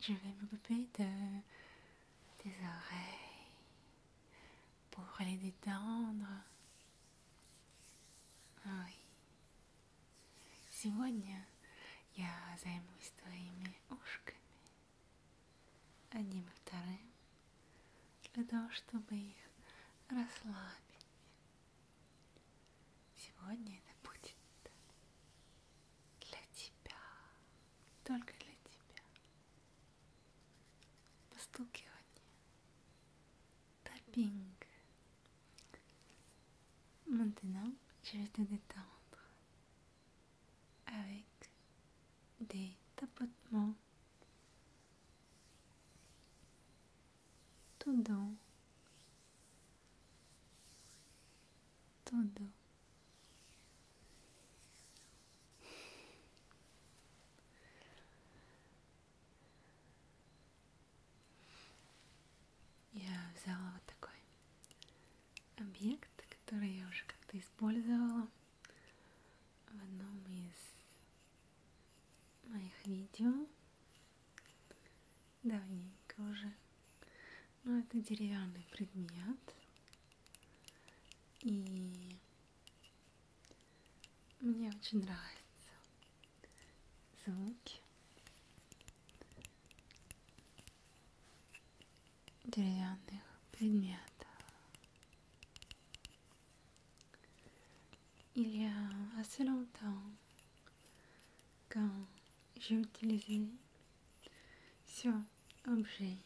je vais m'occuper de tes oreilles pour les détendre. Ой, сегодня я займусь твоими ушками, одним и вторым, для того, чтобы их расслабить. Сегодня это будет для тебя, только для тебя. Постукивание, Maintenant, je vais te détendre avec des tapotements tout dans Tudo. Я взяла вот такой объект, который я уже как-то использовала в одном из моих видео Давненько уже. Но ну, это деревянный предмет. И мне очень нравятся звуки деревянных предметов. Il y a assez longtemps, quand j'ai utilisé sur objet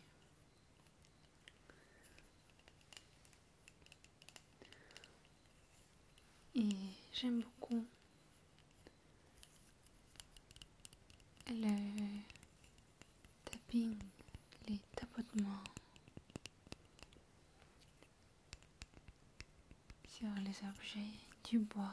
et j'aime beaucoup le tapping les tapotements sur les objets du bois.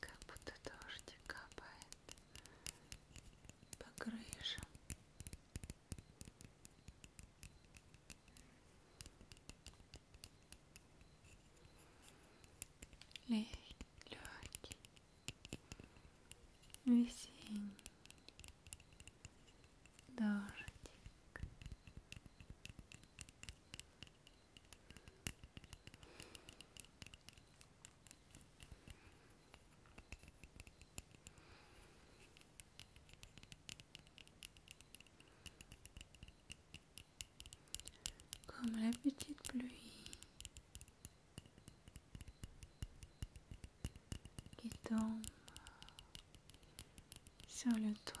как будто дождик капает по крышам. Легкий, весенний дождик. Comme la petite pluie qui tombe sur le toit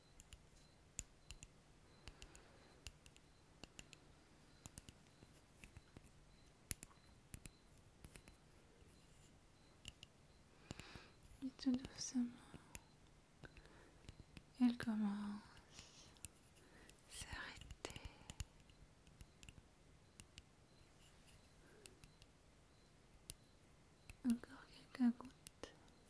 Et tout doucement, elle commence s'arrêter. Encore quelques gouttes.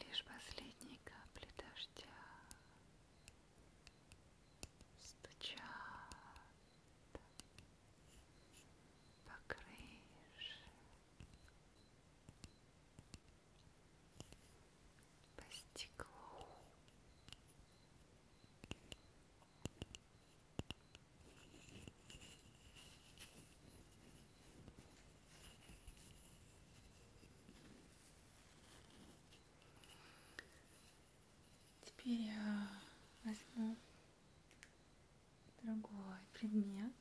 Лишь последние капли дождя стучат по крыше, по стеклу. Теперь я возьму другой предмет,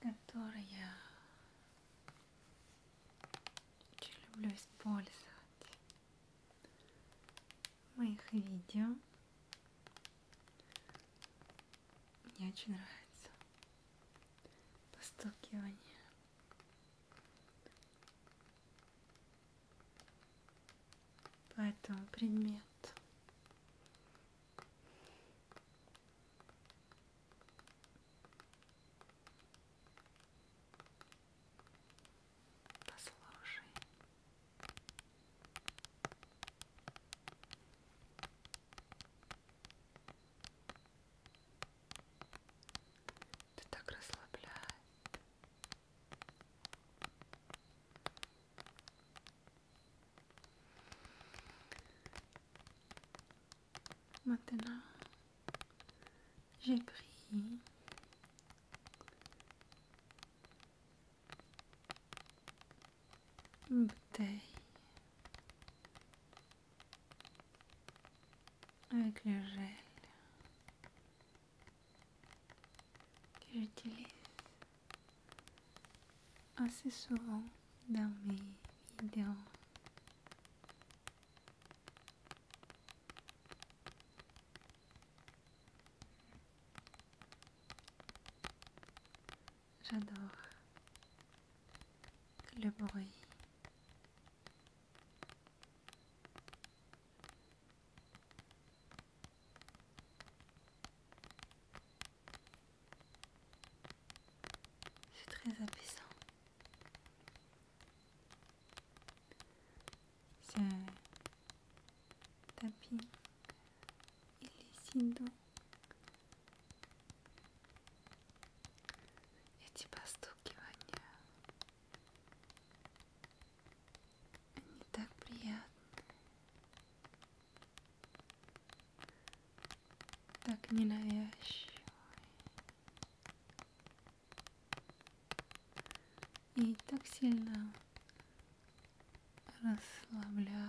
который я очень люблю использовать в моих видео. Мне очень нравится постукивание. По этому предмету. Послушай. Это так расслабляет. Maintenant, j'ai pris bouteille. Avec le gel que j'utilise assez souvent dans mes vidéos. J'adore le bruit. C'est très apaisant. Ce tapis или Синду. Эти постукивания, они так приятны, так ненавязчивы и так сильно расслабляют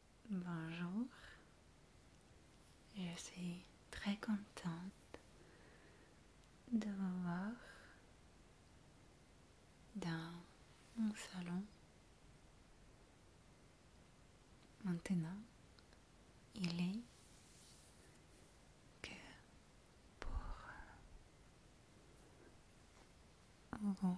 Bonjour, je suis très contente de vous voir dans mon salon. Maintenant, il est que pour vous.